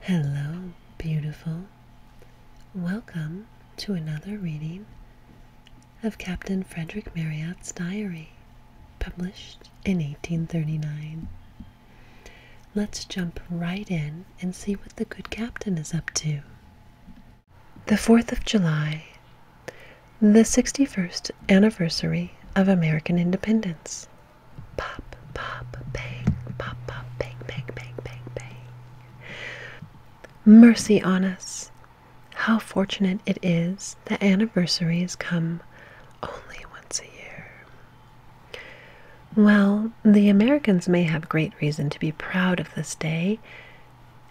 Hello, beautiful. Welcome to another reading of Captain Frederick Marriott's diary, published in 1839. Let's jump right in and see what the good captain is up to. The 4th of July the 61st anniversary of American independence. Pop, pop, bang, pop, pop, bang, bang, bang, bang, bang. Mercy on us! How fortunate it is that anniversaries come only once a year. Well, the Americans may have great reason to be proud of this day,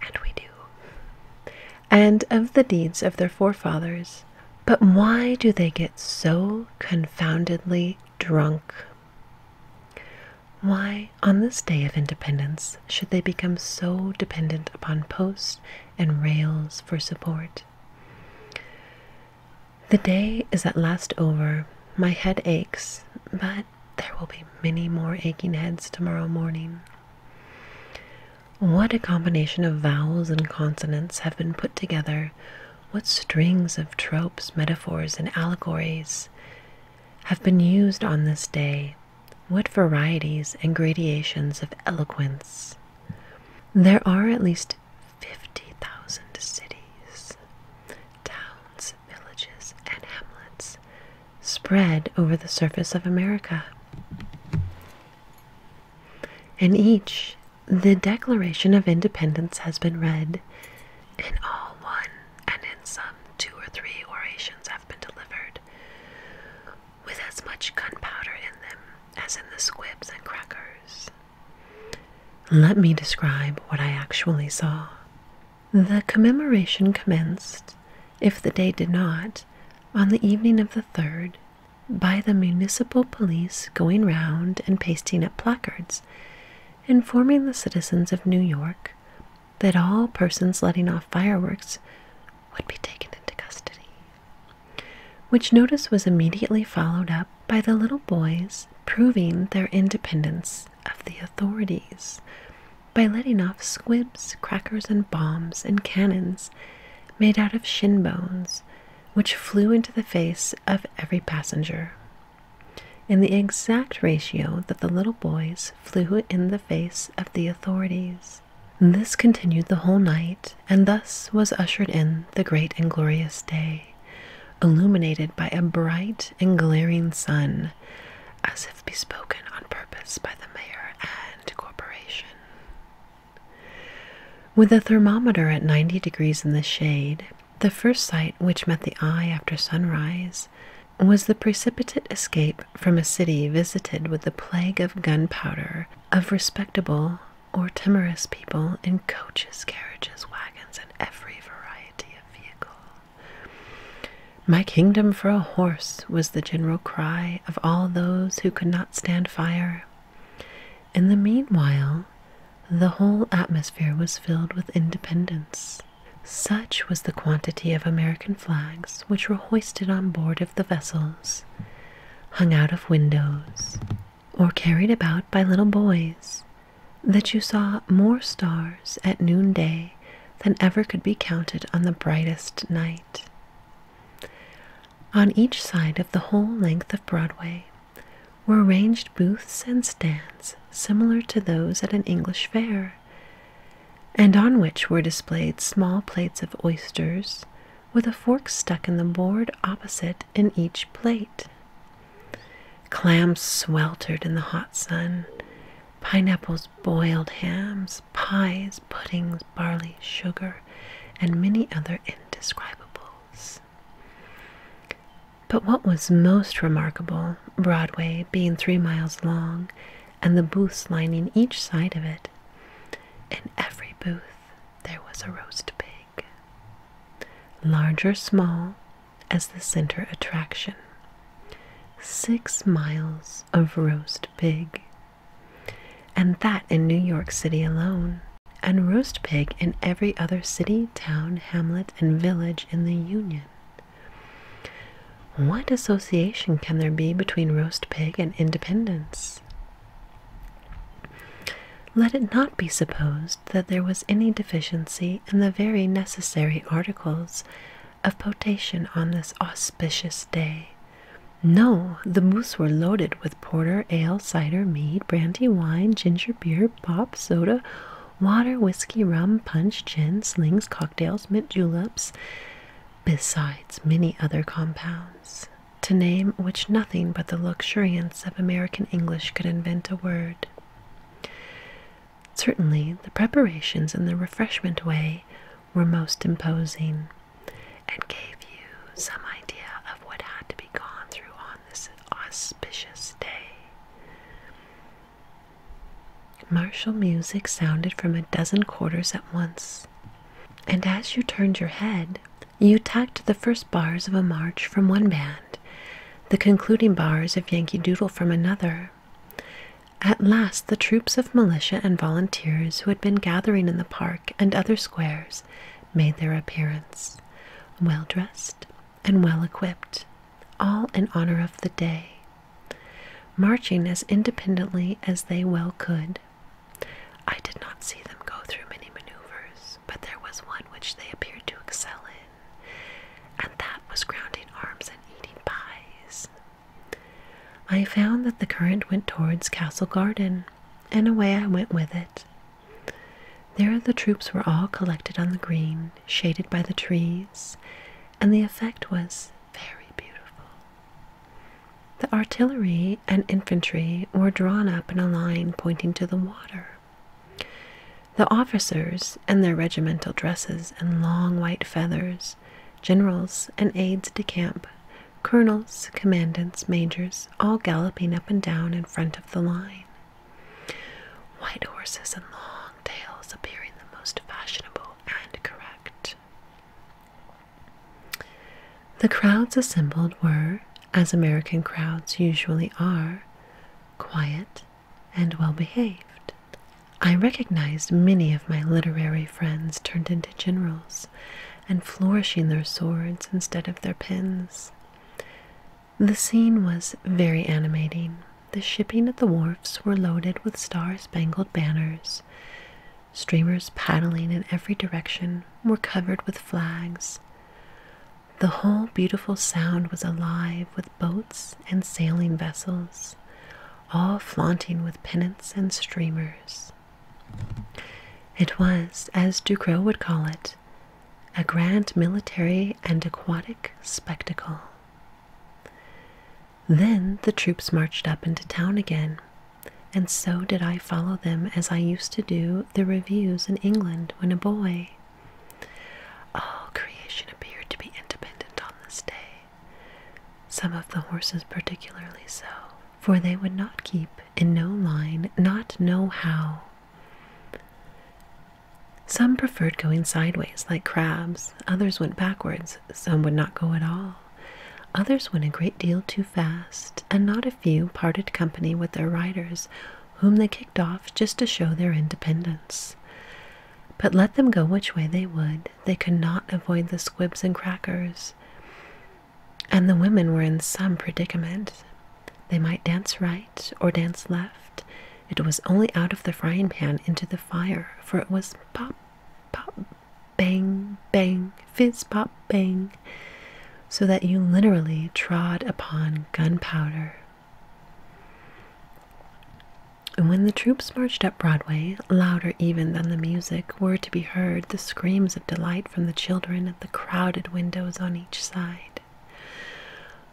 and we do, and of the deeds of their forefathers. But why do they get so confoundedly drunk? Why, on this day of independence, should they become so dependent upon posts and rails for support? The day is at last over. My head aches, but there will be many more aching heads tomorrow morning. What a combination of vowels and consonants have been put together. What strings of tropes, metaphors, and allegories have been used on this day. What varieties and gradations of eloquence. There are at least 50,000 cities, towns, villages, and hamlets spread over the surface of America. In each, the Declaration of Independence has been read. In all, one, and in some, two or three orations have been delivered, with as much gunpowder in them as in the squibs and crackers. Let me describe what I actually saw. The commemoration commenced, if the day did not, on the evening of the 3rd by the municipal police going round and pasting up placards, informing the citizens of New York that all persons letting off fireworks would be taken into custody. Which notice was immediately followed up by the little boys proving their independence of the authorities by letting off squibs, crackers, and bombs and cannons made out of shin bones, which flew into the face of every passenger, in the exact ratio that the little boys flew in the face of the authorities. This continued the whole night, and thus was ushered in the great and glorious day, illuminated by a bright and glaring sun, as if bespoken on purpose by the mayor and corporation. With the thermometer at 90 degrees in the shade, the first sight which met the eye after sunrise was the precipitate escape from a city visited with the plague of gunpowder of respectable or timorous people in coaches, carriages, wagons, and every variety of vehicle. My kingdom for a horse was the general cry of all those who could not stand fire. In the meanwhile, the whole atmosphere was filled with independence. Such was the quantity of American flags which were hoisted on board of the vessels, hung out of windows, or carried about by little boys, that you saw more stars at noonday than ever could be counted on the brightest night. On each side of the whole length of Broadway were ranged booths and stands similar to those at an English fair, and on which were displayed small plates of oysters with a fork stuck in the board opposite in each plate. Clams sweltered in the hot sun, pineapples, boiled hams, pies, puddings, barley, sugar, and many other indescribables. But what was most remarkable, Broadway being three miles long and the booths lining each side of it, in every booth there was a roast pig, large or small, as the center attraction. Six miles of roast pig and that in New York City alone, and roast pig in every other city, town, hamlet, and village in the Union. What association can there be between roast pig and independence? Let it not be supposed that there was any deficiency in the very necessary articles of potation on this auspicious day. No, the booths were loaded with porter, ale, cider, mead, brandy, wine, ginger beer, pop, soda, water, whiskey, rum, punch, gin, slings, cocktails, mint juleps, besides many other compounds, to name which nothing but the luxuriance of American English could invent a word. Certainly, the preparations in the refreshment way were most imposing and gave you some idea of what had to be gone through on this auspicious day. Martial music sounded from a dozen quarters at once, and as you turned your head, you tacked the first bars of a march from one band, the concluding bars of Yankee Doodle from another. At last, the troops of militia and volunteers who had been gathering in the park and other squares made their appearance, well dressed and well equipped, all in honor of the day, marching as independently as they well could. I did not see them go through many maneuvers, but there was one which they appeared to excel in, and that was grounding arms and eating pies. I found that the current went towards Castle Garden, and away I went with it. There the troops were all collected on the green, shaded by the trees, and the effect was very beautiful. The artillery and infantry were drawn up in a line pointing to the water. The officers, in their regimental dresses and long white feathers, generals and aides de camp, colonels, commandants, majors, all galloping up and down in front of the line. White horses and long tails appearing the most fashionable and correct. The crowds assembled were, as American crowds usually are, quiet and well behaved. I recognized many of my literary friends turned into generals and flourishing their swords instead of their pens. The scene was very animating. The shipping at the wharfs were loaded with star spangled banners. Streamers paddling in every direction were covered with flags. The whole beautiful sound was alive with boats and sailing vessels, all flaunting with pennants and streamers. It was, as Ducrow would call it, a grand military and aquatic spectacle. Then the troops marched up into town again, and so did I follow them as I used to do the reviews in England when a boy. All creation appeared to be independent on this day, some of the horses particularly so for they would not keep in no line, not know how. Some preferred going sideways, like crabs, others went backwards, some would not go at all. Others went a great deal too fast, and not a few parted company with their riders, whom they kicked off just to show their independence. But let them go which way they would, they could not avoid the squibs and crackers. And the women were in some predicament. They might dance right or dance left. It was only out of the frying pan into the fire, for it was pop, pop, bang, bang, fizz, pop, bang, so that you literally trod upon gunpowder. When the troops marched up Broadway, louder even than the music, were to be heard the screams of delight from the children at the crowded windows on each side.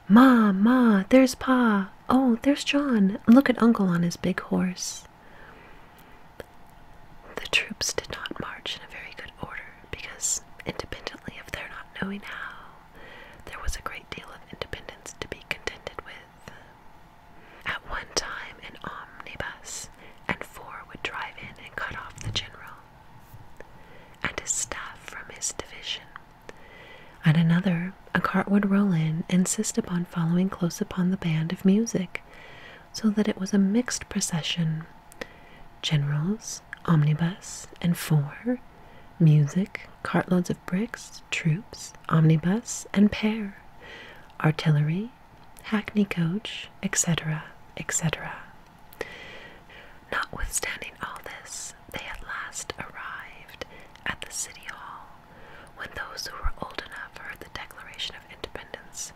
Ma, Ma, there's Pa. Oh, there's John. Look at Uncle on his big horse. The troops did not march in a very good order because, independently of their not knowing how, there was a great deal of independence to be contended with. At one time, an omnibus and four would drive in and cut off the general, and a staff from his division. At another, a cart would roll in, insist upon following close upon the band of music, so that it was a mixed procession. Generals, omnibus, and four, music, cartloads of bricks, troops, omnibus, and pair, artillery, hackney coach, etc., etc. Notwithstanding all this, they at last arrived at the city hall, when those who were old enough heard the Declaration of Independence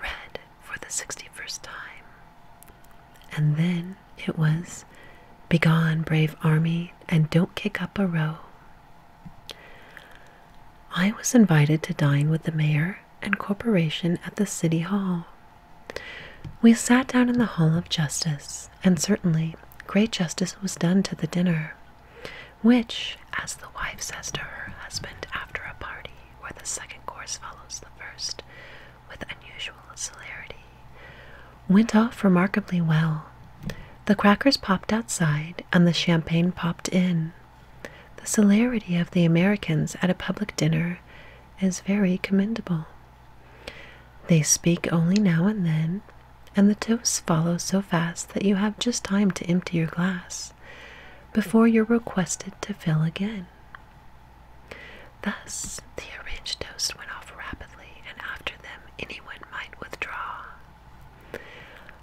read for the sixty first time. And then it was, Begone, brave army, and don't kick up a row. I was invited to dine with the mayor and Corporation at the City Hall. We sat down in the Hall of Justice, and certainly great justice was done to the dinner, which, as the wife says to her husband after a party where the second course follows the first with unusual celerity, went off remarkably well. The crackers popped outside, and the champagne popped in. The celerity of the Americans at a public dinner is very commendable. They speak only now and then, and the toasts follow so fast that you have just time to empty your glass before you're requested to fill again. Thus, the arranged toast went off rapidly, and after them, anyone might withdraw.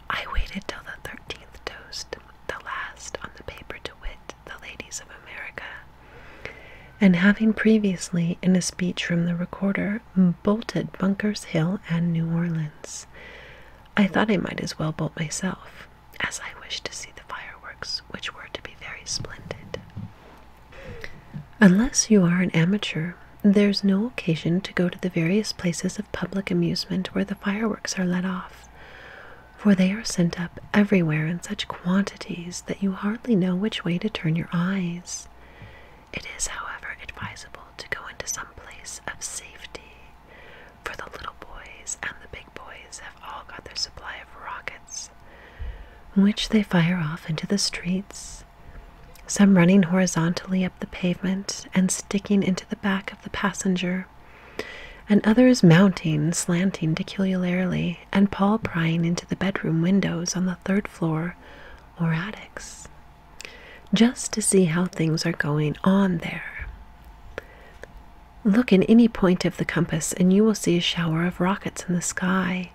I waited till the thirteenth toast, the last on the paper to wit, the ladies of America. And having previously, in a speech from the recorder, bolted Bunker's Hill and New Orleans, I thought I might as well bolt myself, as I wished to see the fireworks, which were to be very splendid. Unless you are an amateur, there's no occasion to go to the various places of public amusement where the fireworks are let off, for they are sent up everywhere in such quantities that you hardly know which way to turn your eyes. It is, however, advisable to go into some place of safety, for the little boys and the big boys have all got their supply of rockets, which they fire off into the streets, some running horizontally up the pavement and sticking into the back of the passenger and others mounting, slanting peculiarly, and Paul prying into the bedroom windows on the third floor or attics, just to see how things are going on there. Look in any point of the compass, and you will see a shower of rockets in the sky.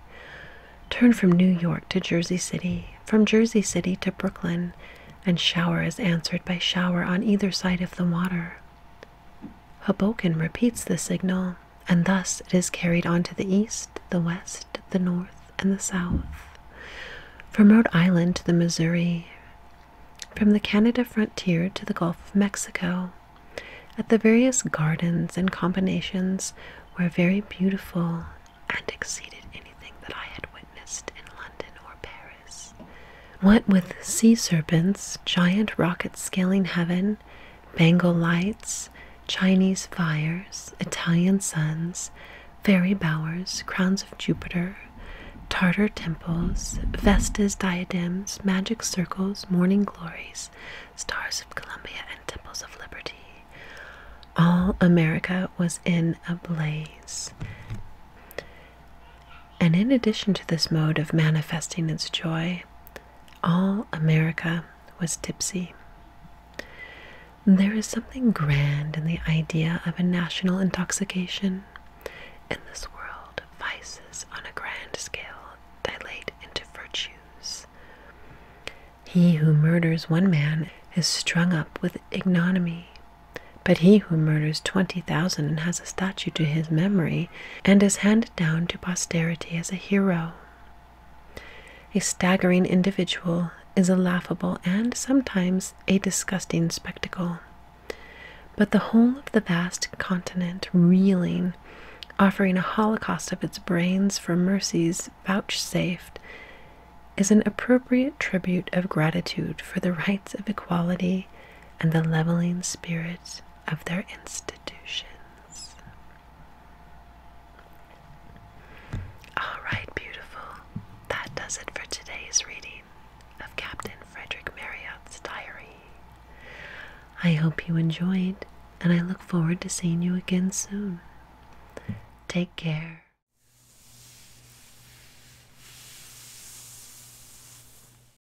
Turn from New York to Jersey City, from Jersey City to Brooklyn, and shower is answered by shower on either side of the water. Hoboken repeats the signal, and thus it is carried on to the east, the west, the north, and the south. From Rhode Island to the Missouri, from the Canada frontier to the Gulf of Mexico, at the various gardens and combinations were very beautiful and exceeded anything that I had witnessed in London or Paris. What with sea serpents, giant rockets scaling heaven, Bengal lights, Chinese fires, Italian suns, fairy bowers, crowns of Jupiter, Tartar temples, Vestas, diadems, magic circles, morning glories, stars of Columbia, and temples of liberty. All America was in a blaze. And in addition to this mode of manifesting its joy, all America was tipsy. There is something grand in the idea of a national intoxication. In this world, vices on a grand scale dilate into virtues. He who murders one man is strung up with ignominy, but he who murders twenty thousand and has a statue to his memory and is handed down to posterity as a hero. A staggering individual is a laughable and sometimes a disgusting spectacle. But the whole of the vast continent reeling, offering a holocaust of its brains for mercies vouchsafed, is an appropriate tribute of gratitude for the rights of equality and the leveling spirit of their institutions. All right, beautiful. That does it for today's reading of Captain Frederick Marriott's diary. I hope you enjoyed, and I look forward to seeing you again soon. Take care.